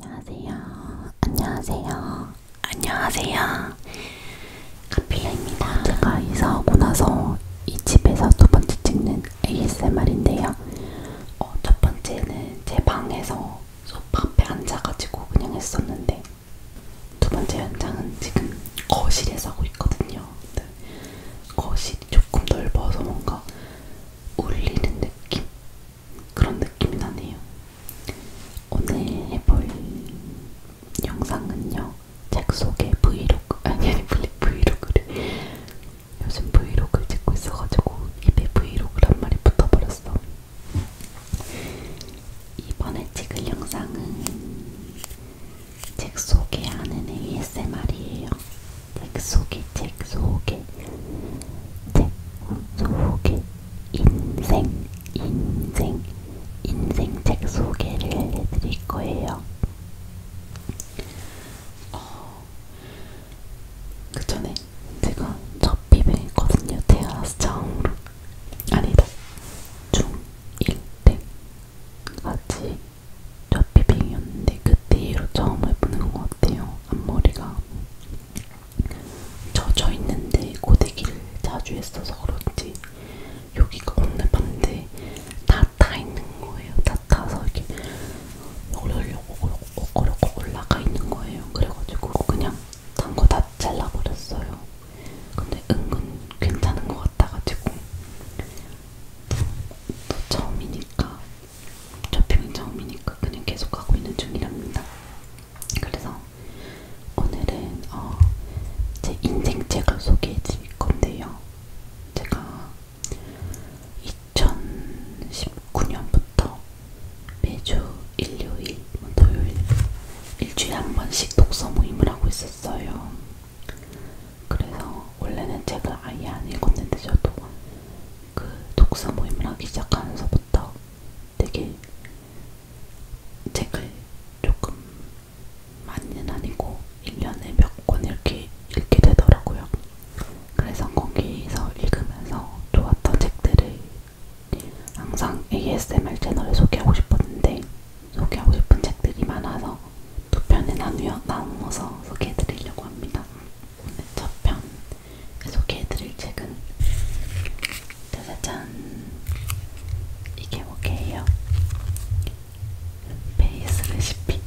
안녕하세요. 안녕하세요. 안녕하세요. 카필라입니다. 제가 이사하고 나서 이 집에서 두 번째 찍는 ASMR인데요. 어, 첫 번째는 제 방에서 소파 앞에 앉아가지고 그냥 했었는데 두 번째 현장은 지금 거실에서 하고 있거든요. 근데 거실이 조금 넓어서 뭔가 울리는 느낌? 그런 느낌이 나네요. 오늘 해볼 영상은요. 책 속에 브이로그, 아니 아니 브이로그를 요즘 브이로그를 찍고 있어가지고 입에 브이로그란 말이 붙어버렸어. 이번에 찍을 영상은 책 속에 아는 ASMR이에요. 책 속에 책 속에 책 소개 인생 인생 인생 책 소개를 해드릴 거예요. 어, 그 전에 제가 첫 비뱅이거든요. 태어나서 처음으로 아니다 중1때까지 첫 비뱅이었는데 그때 이후로 처음 해보는 것 같아요. 앞머리가 젖어 있는데 고데기를 자주 했어서 그런지 여기가 오늘 밤인데 다타 있는 거예요. 다 타서 이렇게 오르려고 올라가 있는 거예요. 그래가지고 그냥 단 거 다 잘라버렸어요. 근데 은근 괜찮은 것 같아가지고 또 처음이니까 쇼핑은 처음이니까 그냥 계속 하고 있는 중이랍니다. 그래서 오늘은 어, 제 인생책을 소개해 드릴 건데요. 제가 2019년부터 매주 일요일, 뭐 토요일 일주일에 한 번씩 독서 모임을 하고 있었어요. 그래서 원래는 책을 아예 안 읽었는데 저도 그 독서 모임을 하기 시작하면서부터 되게 책을 조금 많이는 아니고 1년에 몇 권 이렇게 읽게 되더라고요. 그래서 거기서 읽으면서 좋았던 책들을 항상 ASMR 채널에 소개하고 싶었는데 소개하고 싶은 책들이 많아서 두 편에 나누어, 나누어서 소개해드리려고 합니다. 첫편 소개해드릴 책은 짜자잔 이게 뭐게요? 베이스 레시피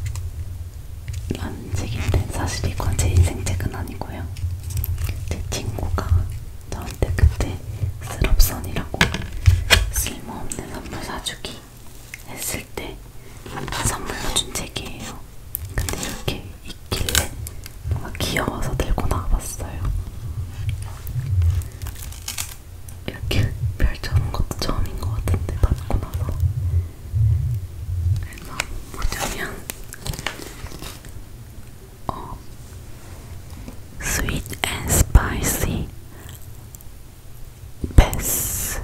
라는 책인데 사실 이건 제 인생 책은 아니고요 제 친구가 저한테 그때 스럽선이라고 쓸모없는 선물 사주기 했을 때 선물로 준 책이에요 있어요. 근데 이렇게 있길래 뭔가 귀여워서 들고 나와봤어요. 이렇게 펼쳐놓은 것도 처음인 것 같은데 받고 나서 그래서 뭐냐면 어 Sweet and Spicy Bass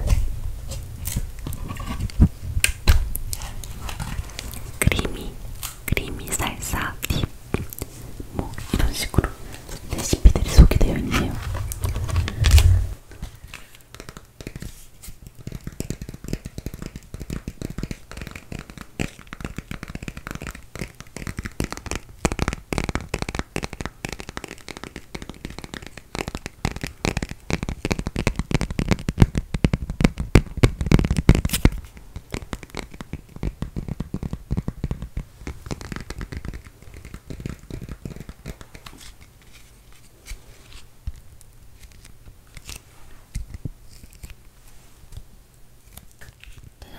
크리미, 크리미 살사 딥. 뭐 이런 식으로 레시피들이 소개되어 있네요.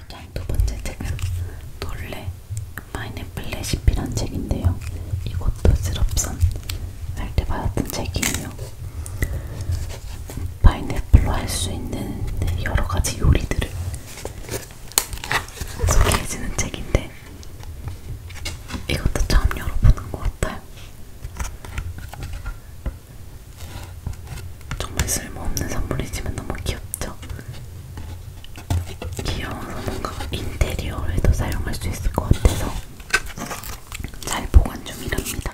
네, 두 번째 책은 놀래 파인애플 레시피란 책인데요. 이것도 슬럽선 할 때 받았던 책이에요. 파인애플로 할 수 있는 네, 여러 가지 요리들을 소개해주는 책인데 이것도 처음 열어보는 것 같아요. 정말 쓸모없는 선물이지만 너무 귀엽죠? 귀여워서 뭔가 인테리어에도 사용할 수 있을 것 같아서 잘 보관 중이랍니다.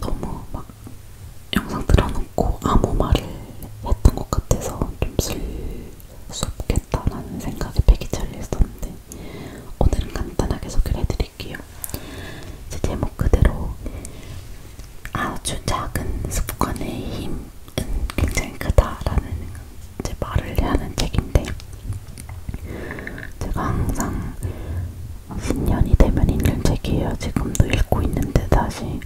너무 막 영상 틀어놓고 아무 말을 했던 것 같아서 좀쓸수 없겠다라는 생각에 팩이 잘렸었는데 오늘은 간단하게 소개를 해드릴게요. 제 제목 그대로 아주 작은 습관의 힘은 굉장히 크다라는 제 말을 하는 책인데 제가 항상 신년이 되면 읽는 책이에요. 지금도 읽고 있는데 다시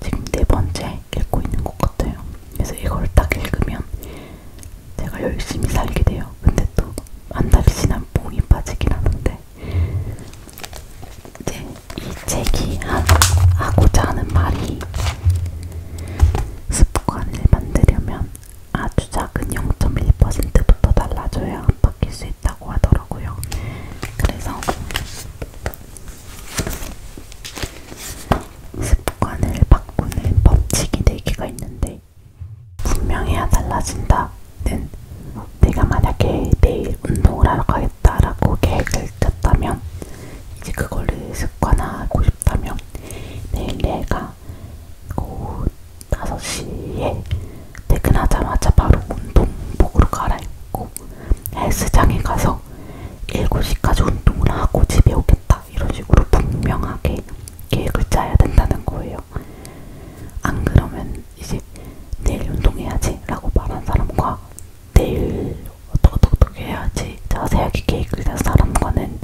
지금 네 번째 읽고 있는 것 같아요. 그래서 이걸 딱 읽으면 제가 열심히 살게 돼요. 근데 또안 달리지난 몸이 빠지긴 하는데 이제 이 책이 하, 하고자 하는 말이 습관을 만들려면 아주 작은 0.1%부터 달라져야 안 바뀔 수 있다고 하더라고요. 그래서 습관을 바꾸는 법칙이 4개가 있는데 분명해야 달라진다는 내가 만약에 내일 운동을 하러 가겠다라고 계획을 짰다면 이제 그거를 습관화하고 싶다면 내일 내가 오후 5시에 퇴근하자마자 바로 운동복으로 갈아입고 헬스장에 가서 7시까지 운동을 하고 집에 오겠다 이런 식으로 분명하게 계획을 짜야 된다는 거예요. 안 그러면 이제 내일 운동해야지 라고 말한 사람과 내일 어떻게 어떻게 해야지 자세하게 계획을 낸 사람과는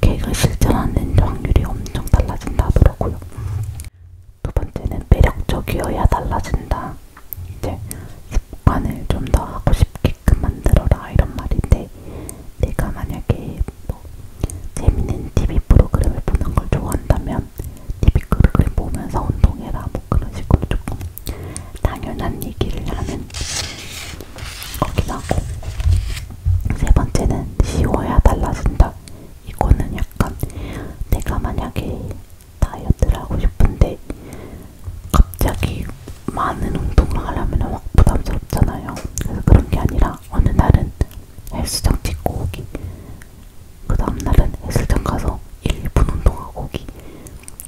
걔가 실천하는 확률이 엄청 달라진다 하더라고요. 두 번째는 매력적이어야 달라진다. 이제 습관을 좀 더 하고 싶게끔 만들어라 이런 말인데 내가 만약에 뭐 재밌는 TV 프로그램을 보는 걸 좋아한다면 TV 프로그램 보면서 운동해라 뭐 그런 식으로 조금 당연한 얘기를 하는 거기나 세 번째는 쉬워야 달라진다. 이거는 약간 내가 만약에 다이어트를 하고 싶은데 갑자기 많은 운동을 하려면 확 부담스럽잖아요. 그래서 그런 게 아니라 어느 날은 헬스장 찍고 오기, 그 다음날은 헬스장 가서 1분 운동하고 오기,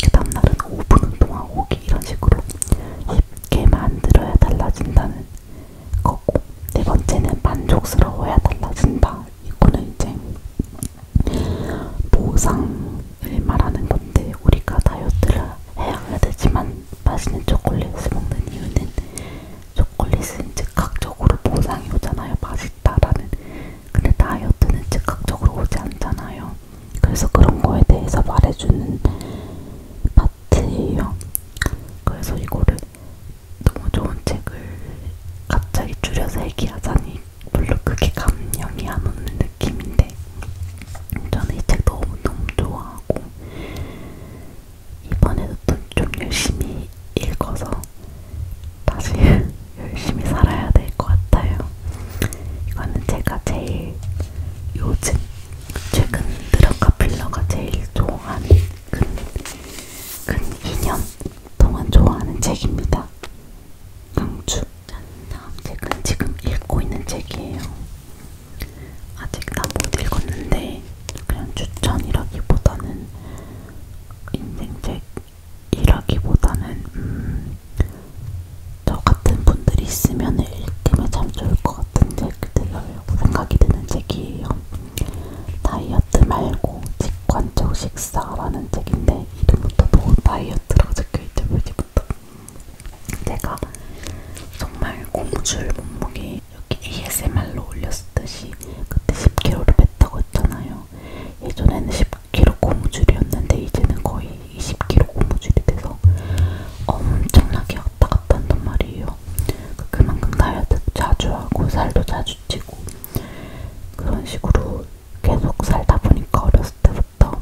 그 다음날은 5분 운동하고 오기 이런 식으로 쉽게 만들어야 달라진다는 거고 네 번째는 만족스러워야 달라진다. 이거는 이제 보상을 말하는 건데 우리가 다이어트를 해야 되지만 맛있는 초콜릿을 먹는 이유는 초콜릿은 즉각적으로 보상이 오잖아요. 맛있다라는. 근데 다이어트는 즉각적으로 오지 않잖아요. 그래서 그런 거에 대해서 말해주는 같아요. 그래서 이거를 너무 좋은 책을 갑자기 줄여서 얘기하자니 물론 그게 감명이 안 오는 느낌인데 저는 이 책 너무너무 좋아하고 이번에도 좀 열심히 읽어서 다시 열심히 살아야 될 것 같아요. 이거는 제가 제일 요즘 최근 드럭과 필러가 제일 좋아하는 근, 근 2년 동안 좋아하는 책입니다. 강추. 다음 책은 지금 읽고 있는 책이에요. 아직 다 못 읽었는데 그냥 추천이라기보다는 인생책이라기보다는 음, 저 같은 분들이 있으면 읽기면 참 좋을 것 같은 책들을 생각이 드는 책이에요. 다이어트 말고 직관적 식사라는 책인데 이름부터 뭐 다이어트라고 적혀있죠 표지부터. 제가 정말 고무줄 몸무게 여기 ASMR로 올렸듯이 그때 10kg를 뺐다고 했잖아요. 예전에는 10kg 고무줄이었는데 이제는 거의 20kg 고무줄이 돼서 엄청나게 왔다 갔다 한단 말이에요. 그 그만큼 다이어트 자주 하고 살도 자주 찌고 그런 식으로 계속 살다 보니까 어렸을 때부터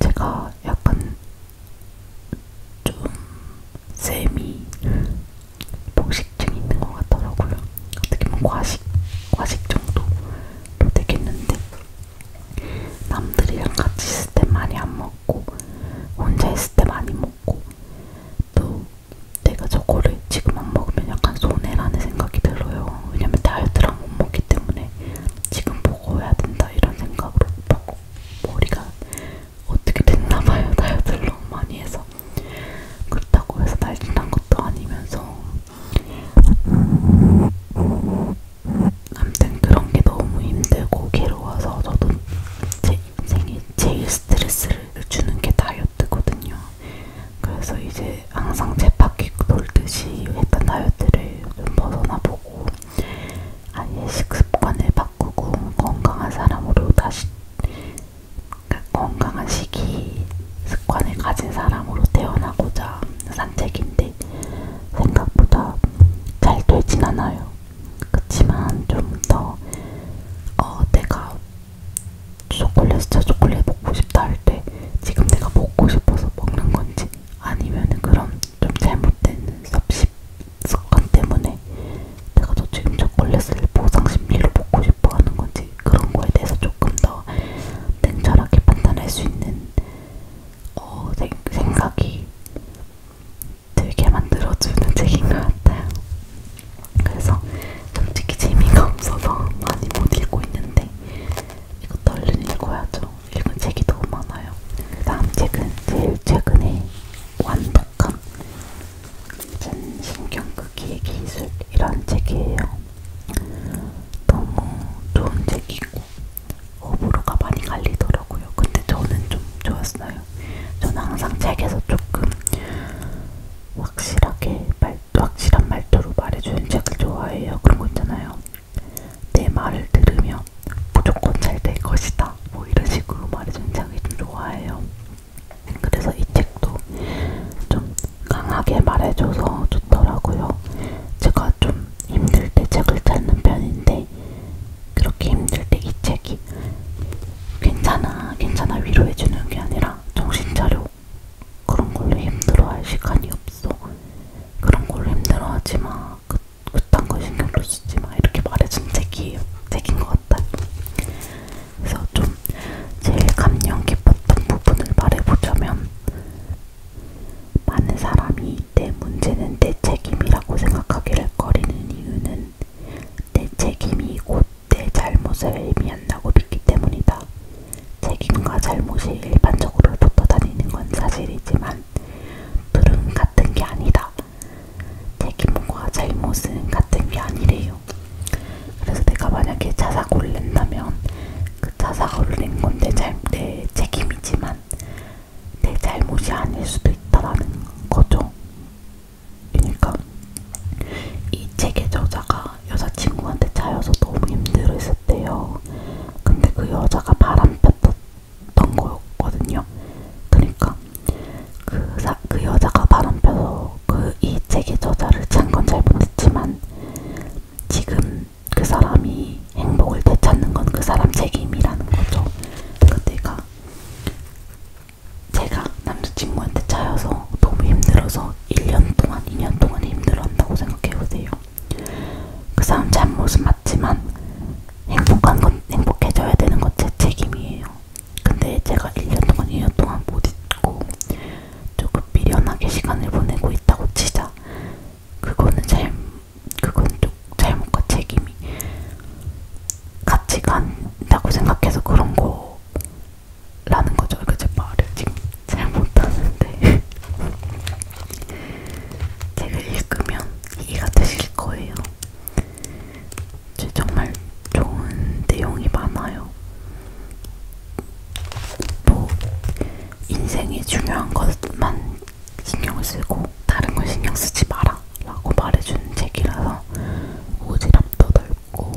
제가 약간 좀 쌤이 폭식증이 있는 것 같더라고요. 어떻게 보면 과식, 과식 정도로 되겠는데 남들이랑 같이 있을 때 많이 안 먹고 먹고 혼자 있을 때 많이 먹고 또 내가 저거를 지금 안 먹으면 약간 손해라는 생각이 들어요. 왜냐면 다이어트랑 못 먹기 때문에 지금 먹어야 된다 이런 생각으로 먹고 머리가 어떻게 됐나봐요. 다이어트를 너무 많이 해서 그렇다고 해서 날씬한 것도 아니면서 아무튼 그런 게 너무 힘들고 괴로워서 저도 제 인생에 제일 스트레스를 주는 게 다이어트거든요. 그래서 이제 항상 제 바퀴 돌듯이 했던 다이어트를 좀 벗어나보고 아예 식습관을 바꾸고 건강한 사람으로 다시 그러니까 건강한 식이 습관을 가진 사람으로 태어나고자 산책인데 생각보다 잘 되진 않아요. 그렇지만 좀 더 어, 내가 초콜릿 진짜 초콜릿 먹고 싶다 할 때 지금 내가 먹고 싶어서 먹는 건지 아니면 그런 좀 잘못된 섭식 습관 때문에 내가 또 지금 초콜릿을 보상 심리로 먹고 싶어 하는 건지 그런 거에 대해서 조금 더 냉철하게 판단할 수 있는 어, 생각이 들게 만들어주는 책인 것 같아요. 그래서 솔직히 재미가 없어서 많이 못 읽고 있는데 이것도 얼른 읽어야죠. 읽은 책이 너무 많아요. 그 다음 책은 제일 최근에 완독한 전신경극기의 기술이라는 책이에요. 너무 좋은 책이고 호불호가 많이 갈리더라고요. 근데 저는 좀 좋았어요. 있어요. 저는 항상 책에서 조금 확실하게 말, 확실한 말투로 말해주는 책을 좋아해요. 그런 거 있잖아요. 내 말을 들으면 무조건 잘 될 것이다. 뭐 이런 식으로 말해주는 책을 좀 좋아해요. 그래서 이 책도 좀 강하게 말해줘서 좋더라고요. 제가 좀 힘들 때 책을 찾는 편인데 그렇게 힘들 때 이 책이 괜찮아 괜찮아 위로해주는 게 아니라 정신 차려 그런 걸로 힘들어할 시간이 없어 그런 걸로 힘들어하지 마 그, 그딴 거 신경도 쓰지 마 이렇게 말해준 책이에요 책인 것 같아요 그래서 좀 제일 감명 깊었던 부분을 말해보자면 많은 사람이 내 문제는 내 책임이라고 생각하기를 꺼리는 이유는 이유는 내 책임이 곧 내 잘못을 의미한다고 믿기 때문이다. 책임과 잘못이 일반적으로 붙어 다니는 건 사실이지만 둘은 같은 게 아니다. 책임과 잘못은 같은 게 아니래요. 그래서 내가 만약에 자사고를 낸다면 그 자사고를 낸건내 책임이지만 내 잘못이 아닐 수도 있다라는 거죠. 그러니까 이 책의 저자가 여자친구한테 차여서 너무 힘들어했었대요. 근데 그 여자가 바람 폈던 거였거든요. 그러니까 그, 사, 그 여자가 바람 펴서 그이 책의 저자를 찬건 잘못했지만 지금 그 사람이 행복을 되찾는 건 그 사람 책임이라는 거죠. 그러니까 내가 제가 남자친구한테 차여서 너무 힘들어서 1년 동안, 2년 동안 힘들어한다고 생각해보세요. 그 사람 잘못은 맞지만 행복한 건 행복해져야 되는 건 제 책임이에요. 근데 제가 1년 동안, 2년 동안 못 있고 조금 미련하게 시간을 보내고 있다고 치자. 그거는 잘, 그건 좀 잘못과 책임이 같이 간다고 생각해서 그런 거라는 거죠. 그러니까 제 말을 지금 잘못하는데 책을 읽으면 이해가 되실 거예요. 정말 좋은 내용이 많아요. 뭐 인생이 중요한 것만 신경을 쓰고 다른 건 신경 쓰지 마라. 라고 말해주는 책이라서 오지랖도 넓고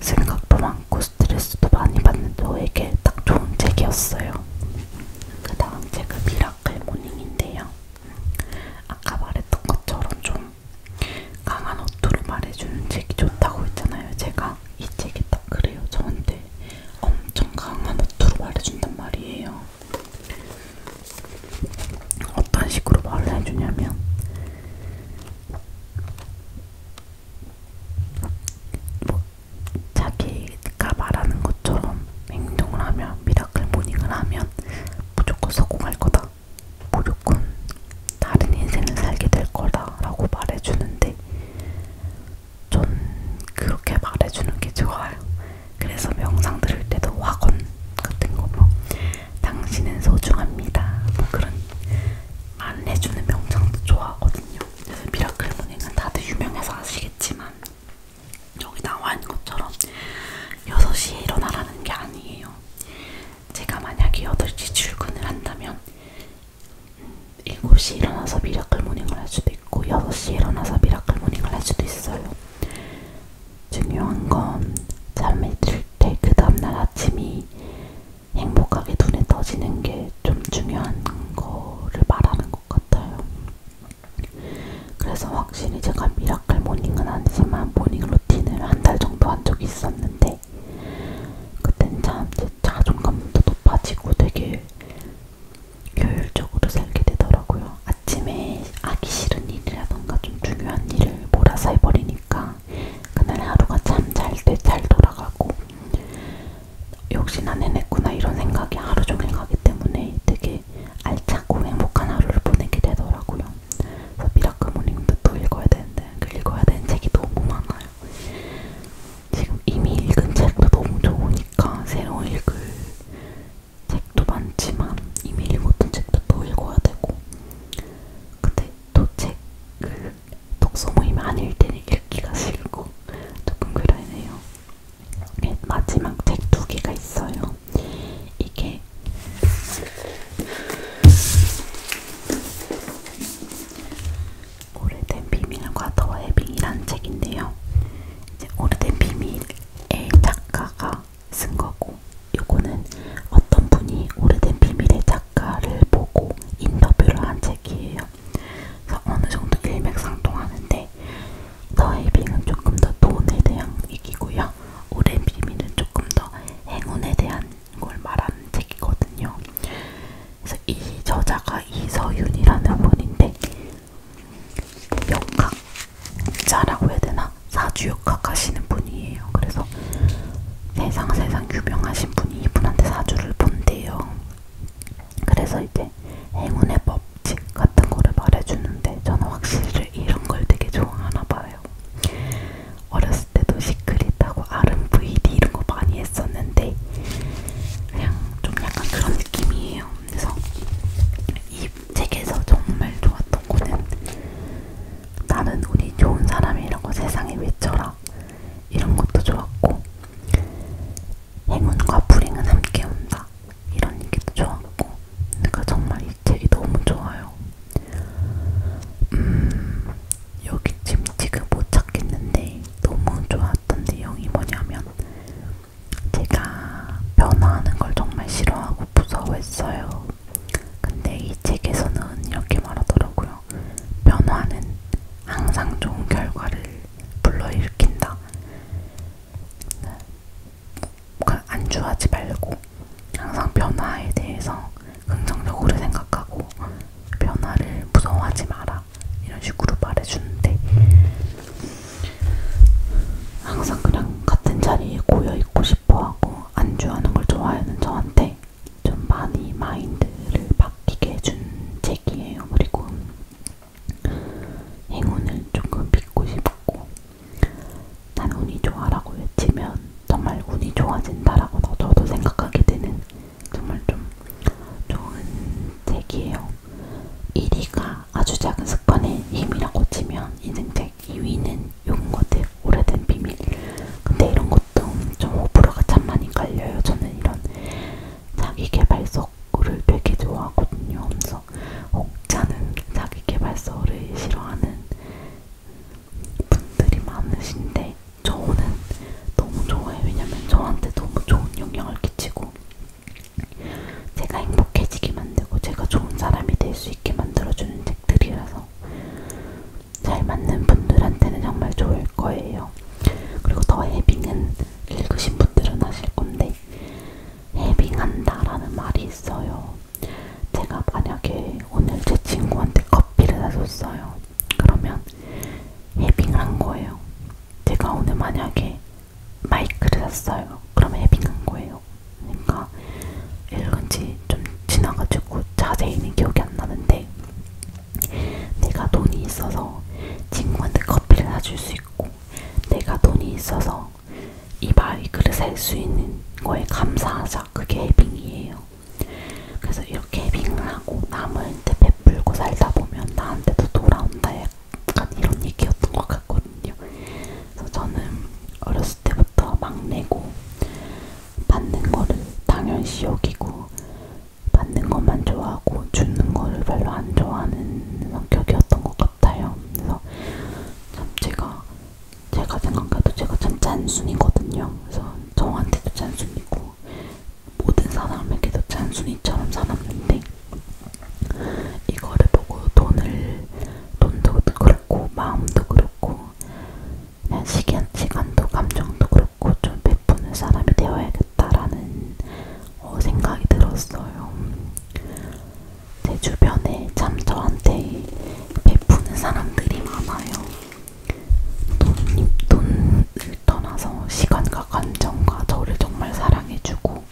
생각도 많고 스트레스도 많이 받는 저에게 딱 좋은 책이었어요. 그 다음 책은 미라클 모닝인데요. 아까 말했던 것처럼 좀 강한 어투로 말해주는 책이 좋다고 했잖아요. 제가 이 책이 딱 그래요. 저한테 엄청 강한 어투로 말해준단 말이에요. 어떤 식으로 말을 해주냐면 뭐 자기가 말하는 것처럼 행동을 하면 미라클 모닝을 하면 무조건 성공할 거다. 무조건 다른 인생을 살게 될 거다라고 말해주는데 전 그렇게 말해주는 게 좋아요. 그래서 명상 들을 때도 화건 같은 거 뭐 당신은 소중합니다 뭐 그런 말 해주는 명상도 좋아하거든요. 그래서 미라클 모닝은 다들 유명해서 아시겠지만 여기 나와 있는 것처럼 6시에 일어나라는 게 아니에요. 제가 만약에 8시 출근을 한다면 7시에 일어나서 미라클 모닝을 할 수도 있고 6시에 일어나서 미라클 모닝을 할 수도 있어요. 중요한 건 잠이 들때 그 다음날 아침이 행복하게 눈에 떠지는 게 좀 중요한 거를 말하는 것 같아요. 그래서 확실히 제가 미라클 모닝은 아니지만 모닝 루틴을 한 달 정도 한 적이 있었는데 그땐 참제 자존감도 높아지고 되게 효율적으로 살게 되더라고요. 아침에 하기 싫은 일이라던가 좀 중요한 일을 몰아서 해버리니까 그날 하루가 참 잘돼잘 잘 돌아가고 역시 난 해냈구나 이런 생각이 하루 종일 가기 때문에 되게 알차고 행복한 하루를 보내게 되더라고요. 그래서 미라클 모닝도 또 읽어야 되는데 그 읽어야 되는 책이 너무 많아요. 지금 이미 읽은 책도 너무 좋으니까 새로 읽을 책도 많지만 이미 읽었던 책도 또 읽어야 되고 근데 또 책을 그 독서 모임 아닐 때는 읽기가 싫고 조금 그러네요 네, 마지막 책 두 개가 있어요 이게 오래된 비밀과 더 해빙이라는 책인데요. 이제 오래된 비밀의 작가가 쓴 거고 요거는 어떤 분이 오래된 비밀의 작가를 보고 인터뷰를 한 책이에요. 그래서 어느 정도 일맥상통하는데 더헤이빙은 조금 더 돈에 대한 얘기고요. 오랜 비밀은 조금 더 행운에 대한 걸 말하는 책이거든요. 그래서 이 저자가 이서윤이라는 분인데 역학 자라고 해야 되나? 사주역학 하시는 분이에요. 그래서 세상 세상 유명하신 분이 이분한테 사주를 본대요. 그래서 이제 행운의 법칙 같은 거를 말해주는데 저는 확실히 이런 걸 되게 좋아하나 봐요. 어렸을 때도 시크릿하고 RMVD 이런 거 많이 했었는데 그냥 좀 약간 그런 느낌이에요. 그래서 이이 책에서 정말 좋았던 거는 나는 우리 좋은 사람이라고 세상에 외쳐라 이런 것도 좋았고 행운과 불행은 함께 온다 이런 얘기도 좋았고 그러니까 정말 이 책이 너무 좋아요. 음, 여기 지금 지금 못 찾겠는데 너무 좋았던 내용이 뭐냐면 제가 변화하는 걸 정말 싫어하고 하고 무서워했어요. 근데 이 책에서는 이렇게 말하더라고요. 변화는 항상 좋은 결과를 불러일으킨다. 그 안주하지 말고 항상 변화에 대해서 긍정적으로 생각하고 변화를 무서워하지 마라. 이런 식으로 말해주는데 항상 그냥 같은 자리에 고여있고 싶 싶어하고 안주하는 걸 좋아하는 저한테 좀 많이 마인드를 바뀌게 해준 책이에요. 그리고 행운을 조금 믿고 싶고 난 운이 좋아라고 외치면 정말 운이 좋아진다라고 저도 생각하게 되는 정말 좀 좋은 책이에요. 1위가 아주 작은 습관의 힘이라고 치면 인생 책 정말 키위는 요것같아 오래된 비밀. 근데 이런 것도 좀 호불호가 참 많이 갈려요. 저는 이런 자기 개발서를 되게 좋아하거든요. 그래서 혹자는 자기 개발서를 싫어하는 분들이 많으신데 저는 너무 좋아해요. 왜냐면 저한테 너무 좋은 영향을 끼치고 제가 행복해지게 만들고 제가 좋은 사람이 될 수 있게 만들어주는 책들이라서 잘 맞는 분들한테는 정말 좋을 거예요. 그리고 더 해빙은 읽으신 분들은 아실 건데 해빙한다라는 말이 있어요. 제가 만약에 오늘 제 친구한테 커피를 사줬어요. 그러면 해빙을 한 거예요. 제가 오늘 만약에 마이크를 샀어요. 그럼 해빙한 거예요. 있어요. 그러니까 읽은 지좀 지나가지고 자세히는 기억이 안 나는데 내가 돈이 있어서 친구한테 커피를 사줄 수 있고 내가 돈이 있어서 이 바위 그릇 살수 있는 거에 감사하자 그게 해빙이에요. 그래서 이렇게 해빙을 하고 남한테 베풀고 살다 보면 나한테도 돌아온다 약간 이런 얘기였던 것 같거든요. 그래서 저는 어렸을 때부터 막내고 받는 거를 당연시 여기고 받는 것만 좋아하고 주는 거를 별로 안 좋아하는 성격이었던 것 같아요. 그래서 참 제가 제가 생각해도 제가 참 잔순이거든요. 그래서 저한테도 잔순이고 모든 사람에게도 잔순이처럼 살았는데 이거를 보고 돈을 돈도 그렇고 마음도 그렇고 그냥 시간, 시간도 감정도 그렇고 좀 베푸는 사람이 되어야겠다라는 어, 생각이 들었어요. 제 주변에 참 저한테 베푸는 사람들이 많아요. 돈, 돈을 떠나서 시간과 감정과 저를 정말 사랑해주고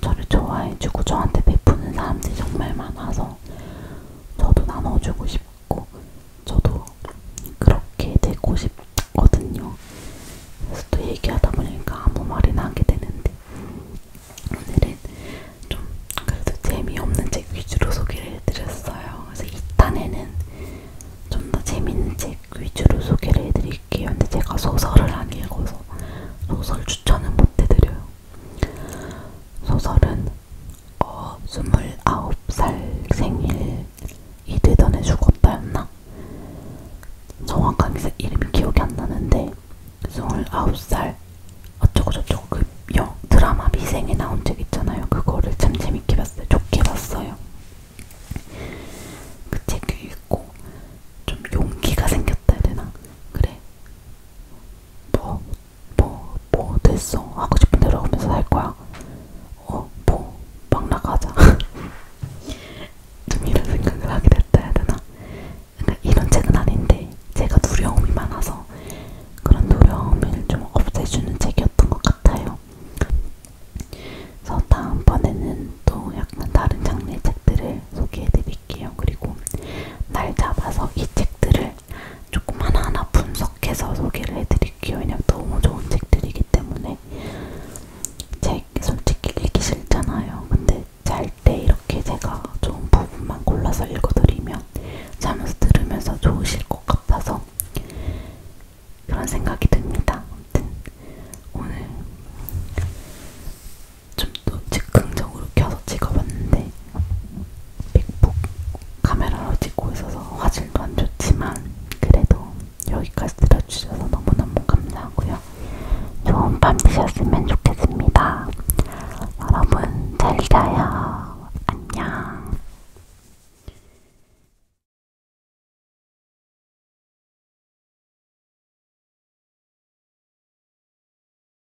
저를 좋아해주고 저한테 베푸는 사람들이 정말 많아서 싶어서 저도 나눠주고 싶고 저도 그렇게 되고 싶거든요. 그래서 또 얘기하다 보니까 아무 말이나 하게 되는데 오늘은 좀 그래도 재미없는 책 위주로 소개를 해드렸어요. 그래서 2탄에는 좀 더 재밌는 책 위주로 소개를 해드릴게요. 근데 제가 소설을 안 읽어서 소설 추천은 못 해드려요. 소설은 어 29살 생일이 되던 해 죽었다였나? 정확하게 이름이 기억이 안 나는데 29살 어쩌고저쩌고 그 영, 드라마 미생에 나온 적 있잖아요. 그거를 참 재밌게 봤어요. 좋게 봤어요. 그책 읽고 좀 용기가 생겼다 해야 되나? 그래. 뭐 뭐, 뭐 됐어. 하고 싶은 대로 하면서 살 거야. 어, 뭐, 막 나가자. 좀 이런 생각을 하게 됐다 해야 되나? 그러니까 이런 책은 아닌데, 제가 두려움이 많아서 그런 두려움을 좀 없애주는 책이었던 것 같아요. 그래서 다음번에는 또 약간 다른 장르의 책들을 책들을 소개해드릴게요. 그리고 날 잡아서 이 책들을 조금 하나하나 분석해서 소개를 해드릴게요. 왜냐면 너무 좋은 책들이기 때문에 책 솔직히 읽기 싫잖아요. 근데 잘 때 이렇게 제가 좋은 부분만 골라서 읽어드리면 자면서 들으면서 좋으실 것 같아서 그런 생각이 듭니다. 아무튼 오늘 좀더 즉흥적으로 켜서 찍어봤는데 맥북 카메라로 찍고 있어서 화질도 안 좋지만 그래도 여기까지 들어주셔서 너무너무 감사하고요. 좋은 밤 되셨으면 좋겠습니다. 여러분 잘 자요. 안녕.